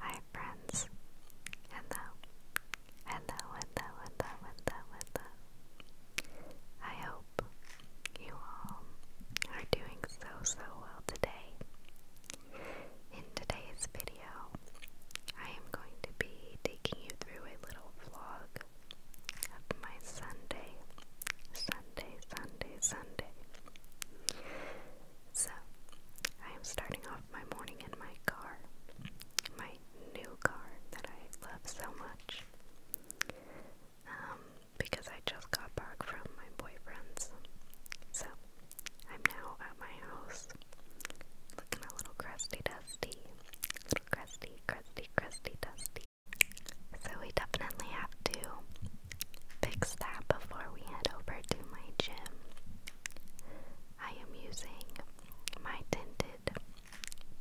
Hi friends. Hello. Hello, hello, hello, hello, I hope you all are doing so, so well today. In today's video, I am going to be taking you through a little vlog of my Sunday, Sunday, Sunday, Sunday. So, I am starting off my morning in my car, my new car that I love so much, um, because I just got back from my boyfriend's. So, I'm now at my house, looking a little crusty, dusty, little crusty, crusty, crusty, dusty. So we definitely have to fix that before we head over to my gym. I am using my tinted,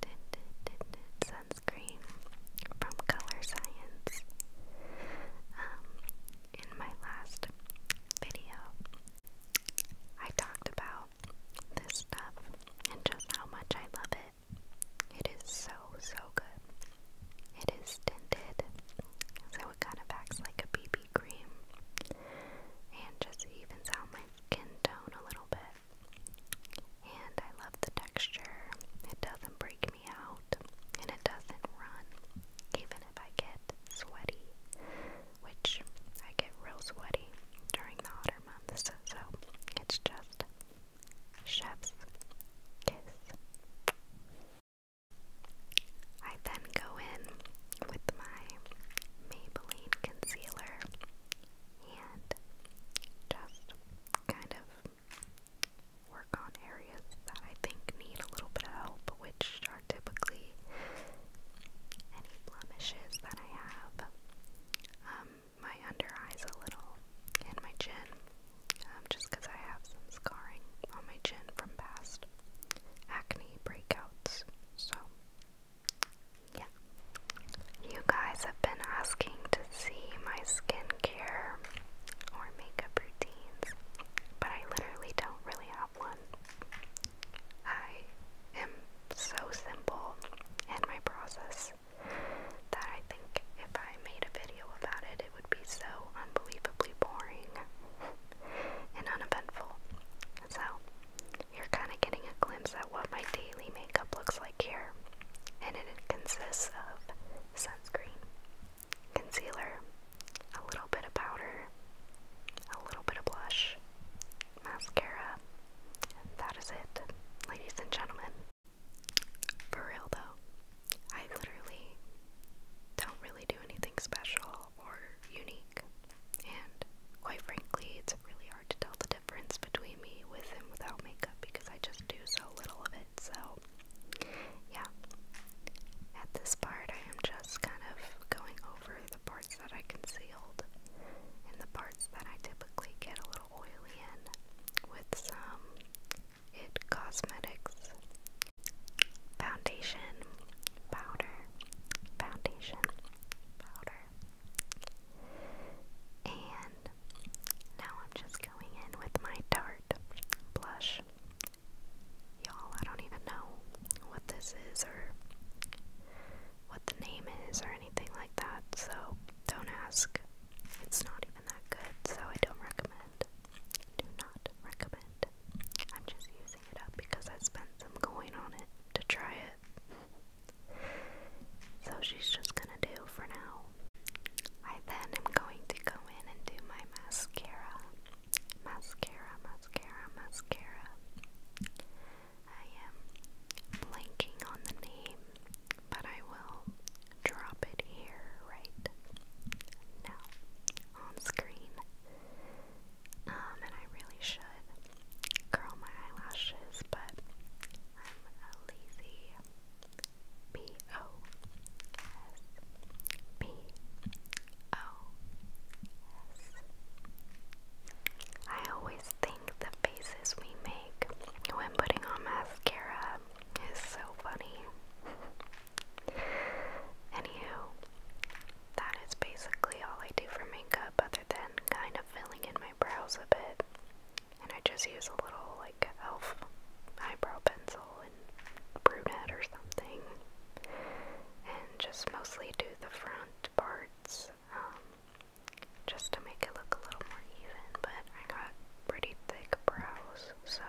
tinted, tinted sunscreen from Color Science. Um, in my last video, I talked about this stuff and just how much I love it. It is so, so good. It is tinted, so it kind of acts like a BB cream and just evens out my skin tone a little bit. And I love the texture. It doesn't break me out and it doesn't run, even if I get sweaty, which I get real sweaty during the hotter so it's just chef's kiss. I then go in with my Maybelline concealer and just kind of work on areas that I think need a little bit of help, which are typically any blemishes that I have. Um, my under eyes a little and my chin, um, just because I have some scarring on my chin from past acne breakouts. So, yeah. You guys have been asking to see my skincare or makeup routines, but I literally don't really have one. I am so simple in my process that I think if I made a video about it, it would be so unbelievably boring and uneventful. So, you're kind of getting a glimpse at what my daily makeup looks like here, and it consists of sunscreen, concealer, a little bit of powder, a little bit of blush, mascara. And that is it, ladies and gentlemen. For real though, I literally don't really do anything special or unique. And quite frankly, it's really hard to tell the difference between me with and without makeup because I just do so little of it. So, yeah. At this part, I am just kind of going over the parts that I concealed and the parts that I typically get a little oily in with some IT Cosmetics foundation powder, foundation powder. And now I'm just going in with my Tarte blush. Y'all, I don't even know what this is or what the name is or anything like that, so don't ask. It's not even that good, so I don't recommend. Do not recommend. I'm just using it up because I spent some coin on it to try it. So she's just gonna do for now. I then am going to go in and do my mascara mascara, mascara, mascara. I am blanking on the name, but I will drop it here right now on screen. Um, and I really should curl my eyelashes, but I'm a lazy B O S B Oh, I always think the faces we make when putting on mascara is so funny. Anywho, that is basically all I do for makeup other than kind of filling in my brows a bit. And I just use a little like elf eyebrow pencil brunette or something, and just mostly do the front parts um, just to make it look a little more even. But I got pretty thick brows, so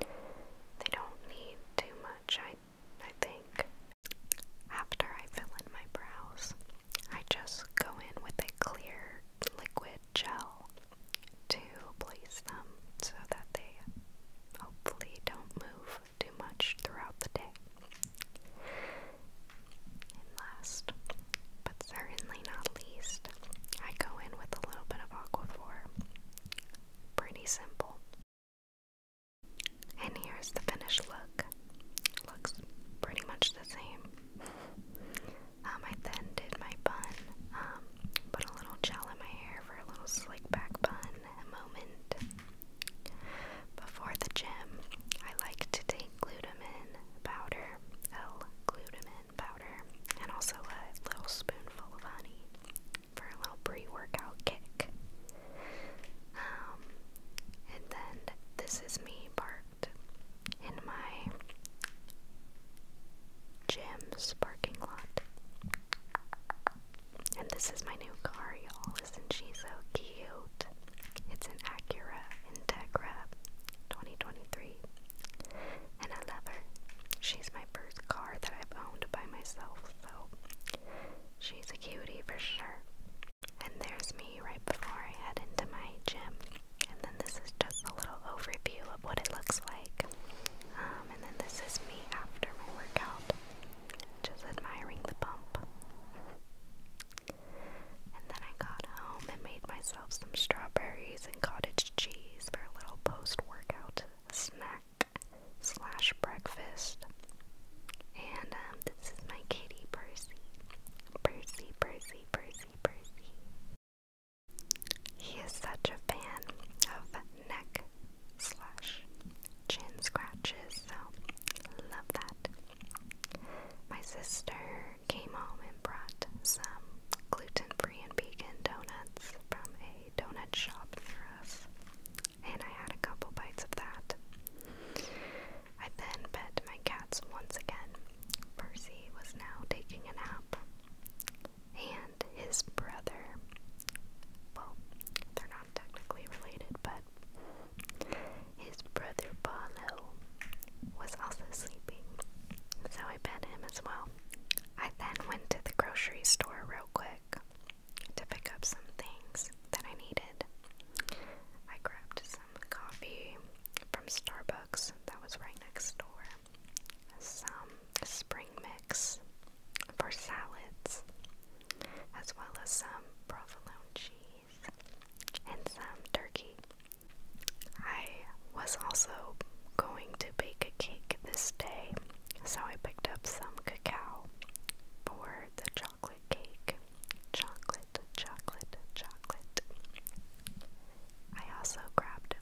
they don't need too much. I I think after I fill in my brows, I just go in with a clear liquid gel to place them so that they hopefully don't move too much throughout the day. And last, but certainly not least, I go in with a little bit of aqua Aquaphor. Pretty simple. And here's the finished look. Looks pretty much the same. Um, I then did my bun, um, put a little gel in my hair for a little slick back bun moment. Before the gym, I like to take glutamine powder, L-glutamine powder, and also a little spoonful of honey for a little pre-workout kick. Um, and then this is me parked in my Jim's parking lot. And this is my new car, y'all. listen, she's so cute? It's an Acura Integra 2023. And I love her. She's my first car that I've owned by myself, so she's a cutie for sure. And there's me right before I head into my gym. And then this is just a little overview of what it looks like. Um, and then this is me after my workout, just admiring the pump. And then I got home and made myself some strawberries and cottage cheese for a little post-workout snack slash breakfast. And um, this is my kitty Percy. Percy, Percy, Percy, Percy. He is such a fan of neck slash chin scratches, so love that. My sister came home and brought some gluten-free and vegan donuts from a donut shop for us, and I had a couple bites of that. I then pet my cats once again, Percy was now taking a nap, and his brother, well, they're not technically related, but his brother Barlow was also sleeping, so I fed him as well. I then went to the grocery store real quick to pick up some things that I needed. I grabbed coffee from Starbucks that was right next door, some spring mix for salads, as well as some provolone cheese and some turkey. I was also going to bake a cake this day, so I picked up some cacao for the chocolate cake. Chocolate chocolate, chocolate, I also grabbed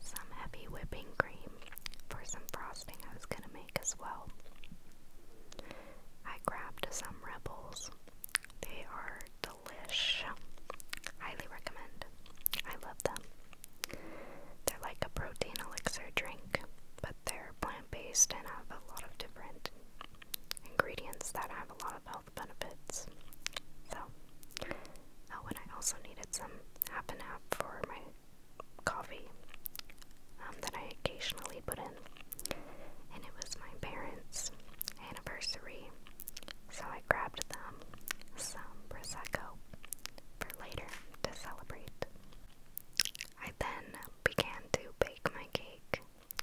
some heavy whipping cream for some frosting I was gonna make as well. I grabbed some Rebels. They are delish. Highly recommend. I love them. They're like a protein elixir drink, but they're plant based and have a lot of different ingredients that have a lot of health benefits. So, and uh, I also needed some half and for my coffee um, that I occasionally put in. And it was my parents' anniversary, so I grabbed them some Prosecco for later to celebrate. I then began to bake my cake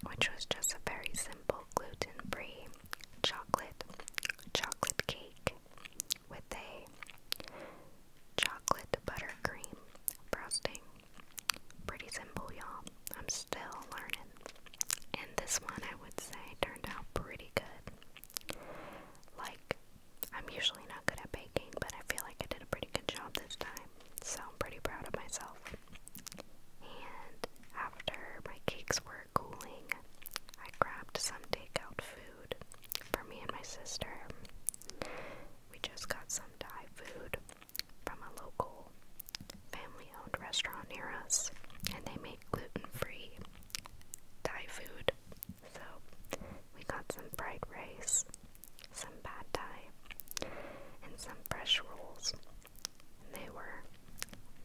which was just a very simple gluten free chocolate chocolate cake with a chocolate buttercream frosting. Pretty simple, y'all. I'm still learning. And this one, I would say, turned out pretty good. Like, I'm usually not good at baking, but I feel like I did a pretty good job this time. So I'm pretty proud of myself. And after my cakes were cooling, I grabbed some takeout food for me and my sister. We just got some Thai food from a local family owned restaurant near us, and they make gluten free Thai food. So we got some fried rice some bad dye, and some fresh rolls. And they were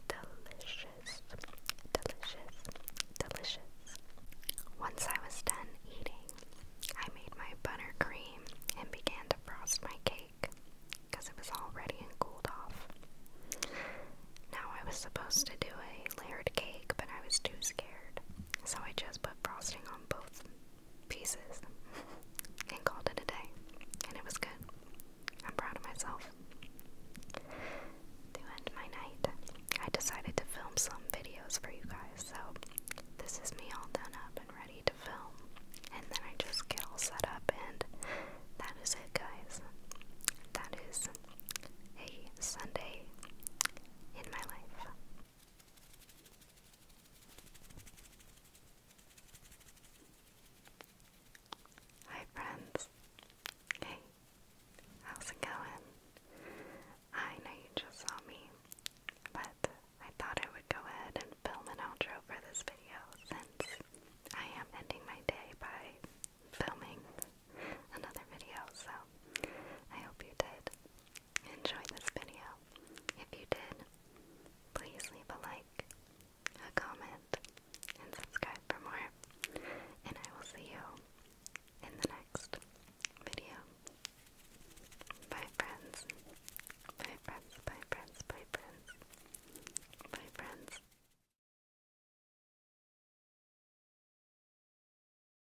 delicious, delicious, delicious. Once I was done eating, I made my buttercream and began to frost my cake because it was all ready and cooled off. Now I was supposed to do a layered cake, but I was too scared, so I just put frosting on both pieces and called it a day. And it was good. I'm proud of myself. To end my night, I decided to film some videos for you guys. So this is me all done up and ready to film. And then I just get all set up, and that is it, guys. That is a Sunday in my life. Hi friends. Hey, how's it going? I know you just saw me, but I thought I would go ahead and film an outro for this video since I am ending my day by filming another video, so I hope you did. Enjoy this video. If you did, please leave a like, a comment, and subscribe for more. And I will see you in the next video. Bye friends. Bye friends. Bye friends. Bye friends. Bye friends.